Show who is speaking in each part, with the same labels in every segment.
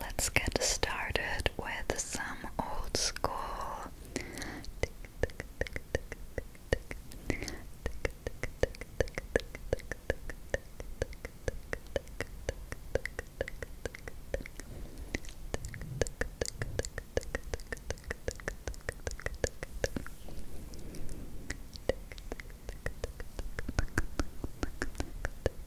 Speaker 1: Let's get started with some old school.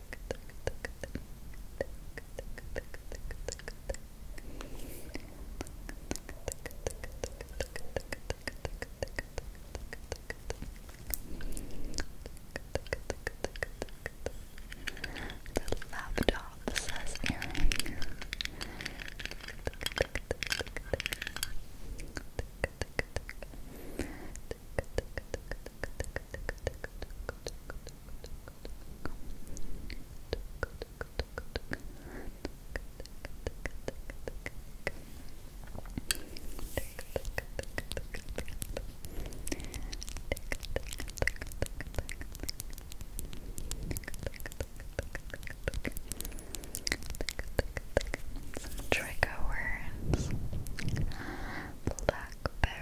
Speaker 1: laptop says some trigger words. Blackberry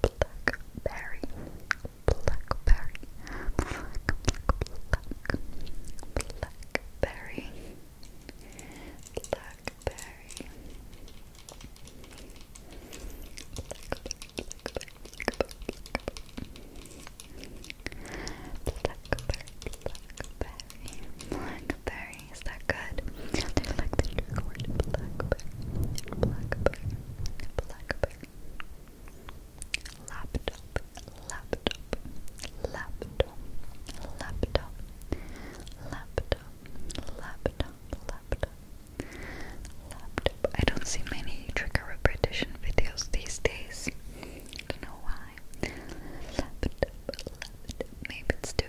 Speaker 1: blackberry, blackberry, black, black, blackberry, blackberry, blackberry, blackberry, blackberries good. They like the sugar orange blackberry, blackberry, blackberry. Laptop, laptop, laptop, laptop, laptop, laptop, laptop. Laptop. I don't see many trigger repetition videos these days. don't know why. Laptop, laptop. Maybe it's too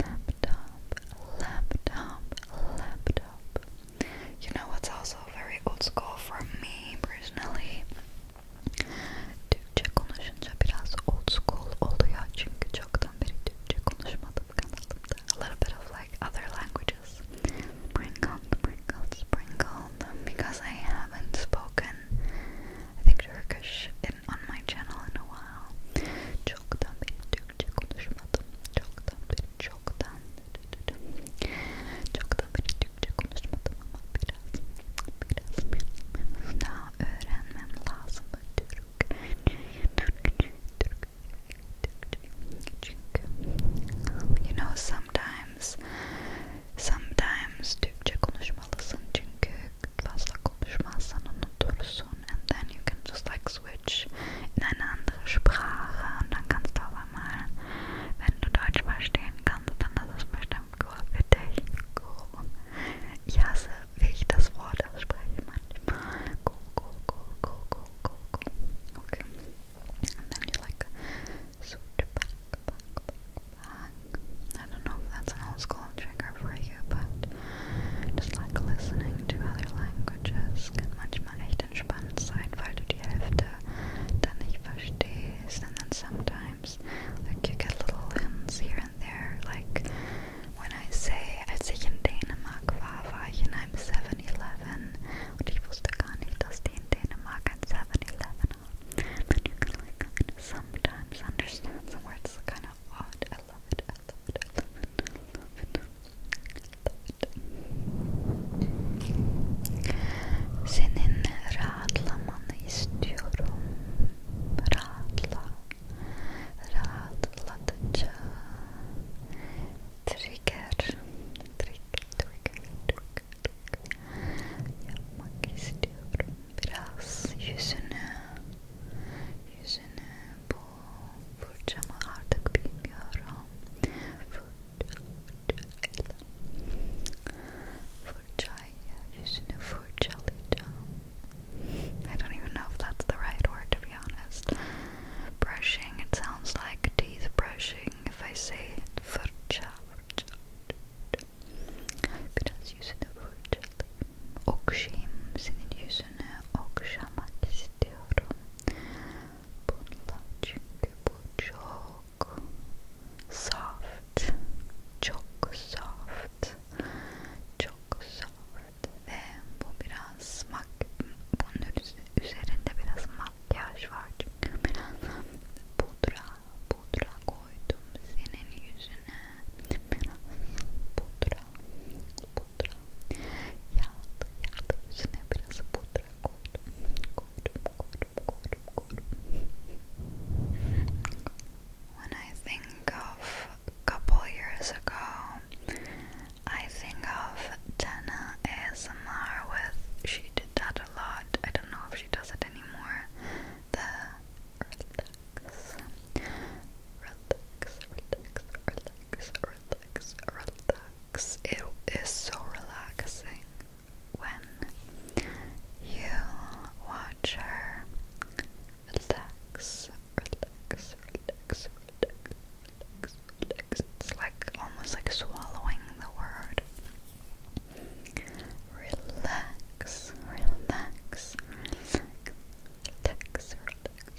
Speaker 1: laptop, laptop, laptop. You know what's also very old school for me personally? Türkçe konuşunca biraz old school oldu ya çünkü çoktan beri Türkçe konuşmadım kanalımda. A little like other languages. Sprinkle, sprinkle, sprinkle because I haven't spoken I think Turkish on my channel in a while. Çoktan beri Türkçe konuşmadım. Çoktan beri, çoktan çoktan beri Türkçe konuşmadım ama biraz biraz, biraz daha öğrenmem lazım Türk. Türkçe, Türk, Türkçe. Çünkü you know sometimes sometimes Türkçe konuşmalısın çünkü fazla Kopfschmassen und Tursun and then you can just like switch in eine andere Sprache und dann kannst du aber mal, wenn du Deutsch verstehen kannst, dann ist es bestimmt cool für dich. Cool. Ich hasse, wie ich das Wort ausspreche manchmal. Cool, cool, cool, cool, cool, cool, cool. Okay. And then you like switch back, back, back, back. I don't know if that's an old school trigger for you. Audio, but just like listening to other languages kann manchmal echt entspannt sein, weil du die Hälfte dann nicht verstehst. And then sometimes, like, you get little hints here and there. Like, when I say, als ich in Dänemark war, war ich in einem 7-Eleven und ich wusste gar nicht, dass die in Dänemark ein 7-Eleven haben. But you can, like, sometimes understand some words kind of odd. I love it, I love it, I love it, I love it, love it. Senin rahatlamanı istiyorum. Rahatla. Rahatlatıcı. Trigger. Trigger, trigger, trigger. Yapmak istiyorum. Biraz fırçamı artık bilmiyorum fırça, fırçayla fırçayla yüzünü I don't even know if that's the right word to be honest brushing it sounds like teeth brushing if I say it fırça, fırça, fırça. biraz yüzünü fırçalayayım yüzünü okşamak istiyorum. Bununla çünkü bu çok soft, çok soft, çok soft ve bu biraz mak bunun üzerinde biraz makyaj var çünkü biraz pudra pudra koydum senin yüzüne biraz pudra pudra. Yağlı When I think of a couple years ago, I think of Jenna ASMR with, she did that a lot, I don't know if she does it anymore, relax, relax, relax, relax, relax. It is so relaxing when you watch her relax, relax, relax. Relax, relax. It's like almost like swallowing the word. Relax, relax, relax, relax, relax,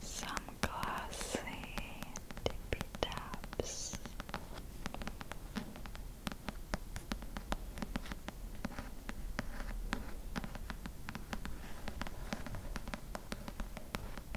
Speaker 1: Some glossy tippy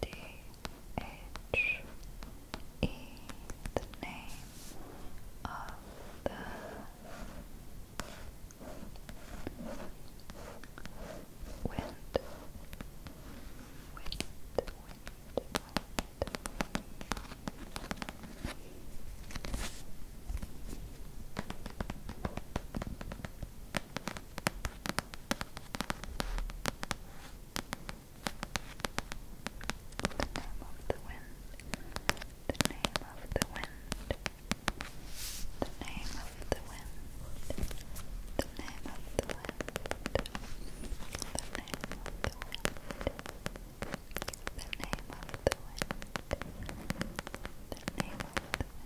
Speaker 1: D H E, the name of the wind, wind, wind, wind. Wind, the name of the wind, the name of the wind, the name of the wind, the name of the wind, the name of the wind. The name of the wind. The name of the wind.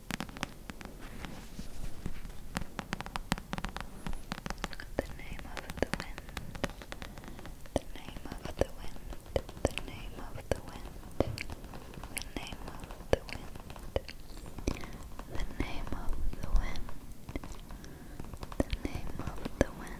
Speaker 1: The name of the wind, the name of the wind, the name of the wind, the name of the wind, the name of the wind, the name of the wind, the name of the wind.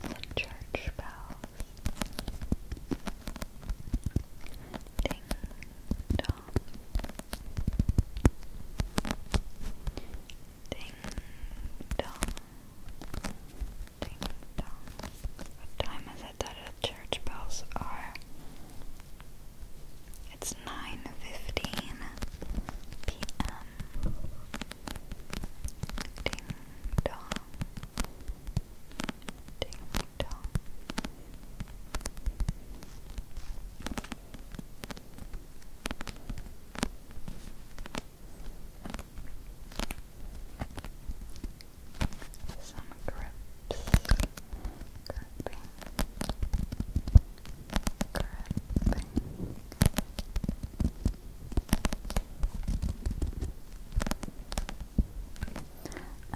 Speaker 1: The church bells ding dong, ding dong, Ding dong. What time is it that the church bells are? It's 9.15 p.m. Ding dong. Ding dong some grips, gripping, gripping.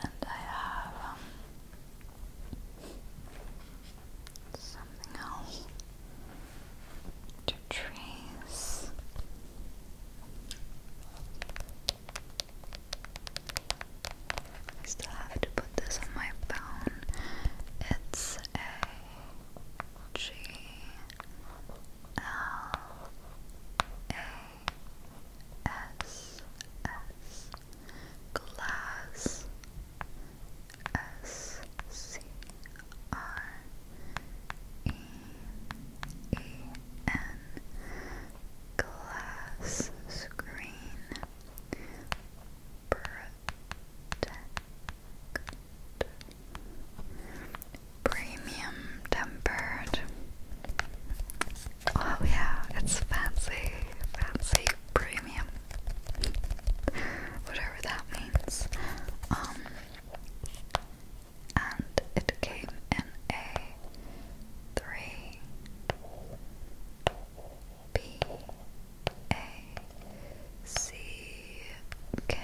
Speaker 1: And I have um, something else to trace. I still have to put this on my phone. It's a G L A S S glass S C R E E N glass screen protect premium tempered. Oh yeah, it's fancy, fancy premium. Whatever that means. Um and it came in a three B A C K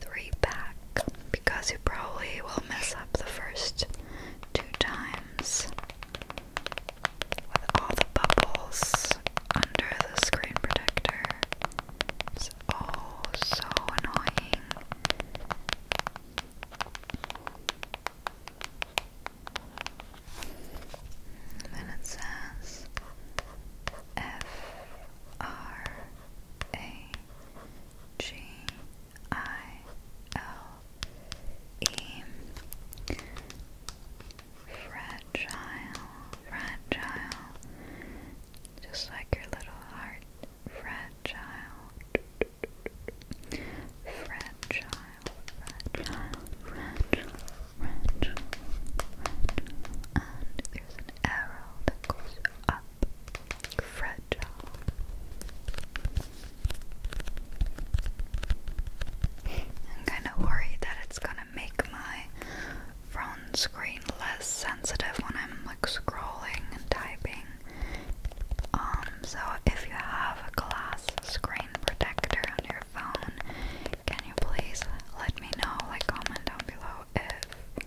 Speaker 1: three pack because you probably will mess up the first two times with all the bubbles under the screen protector. It's oh so annoying. Then it says Fragile, fragile, just like your little heart fragile, fragile, fragile, fragile, fragile, and there's an arrow that goes up, fragile. I'm kind of worried that it's gonna make my phone screen less sensitive when I'm like scrolling and typing. Um, so if you have a glass screen protector on your phone, can you please let me know, like comment down below if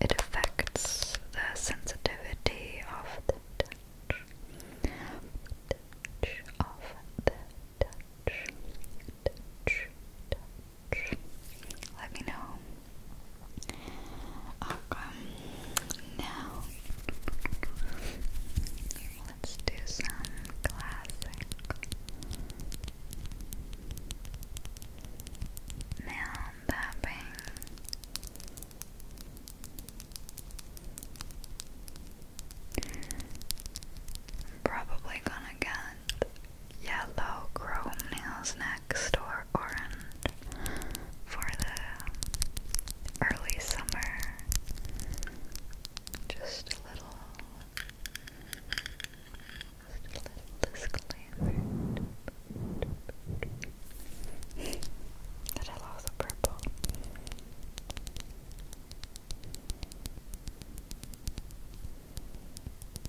Speaker 1: it affects the sensitivity of the touch, touch, touch, touch. Let me know. Okay. Now let's do some classic nail tapping. I'm probably gonna get yellow chrome nails next or or orange for the early summer. Just a little, just a little disclaimer. that I love the purple.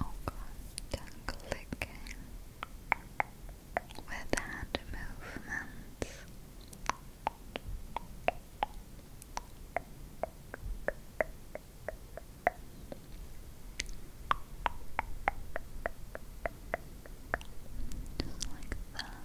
Speaker 1: Oh god, clicking with hand movements. Just like that.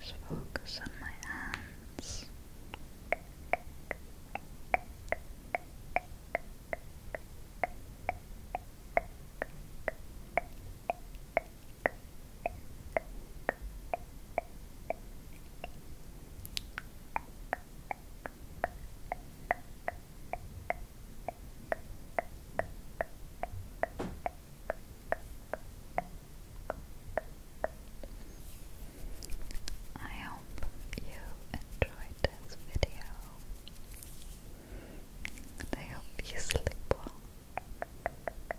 Speaker 1: Just focus on my hands. I hope you enjoyed this video. I hope you sleep well.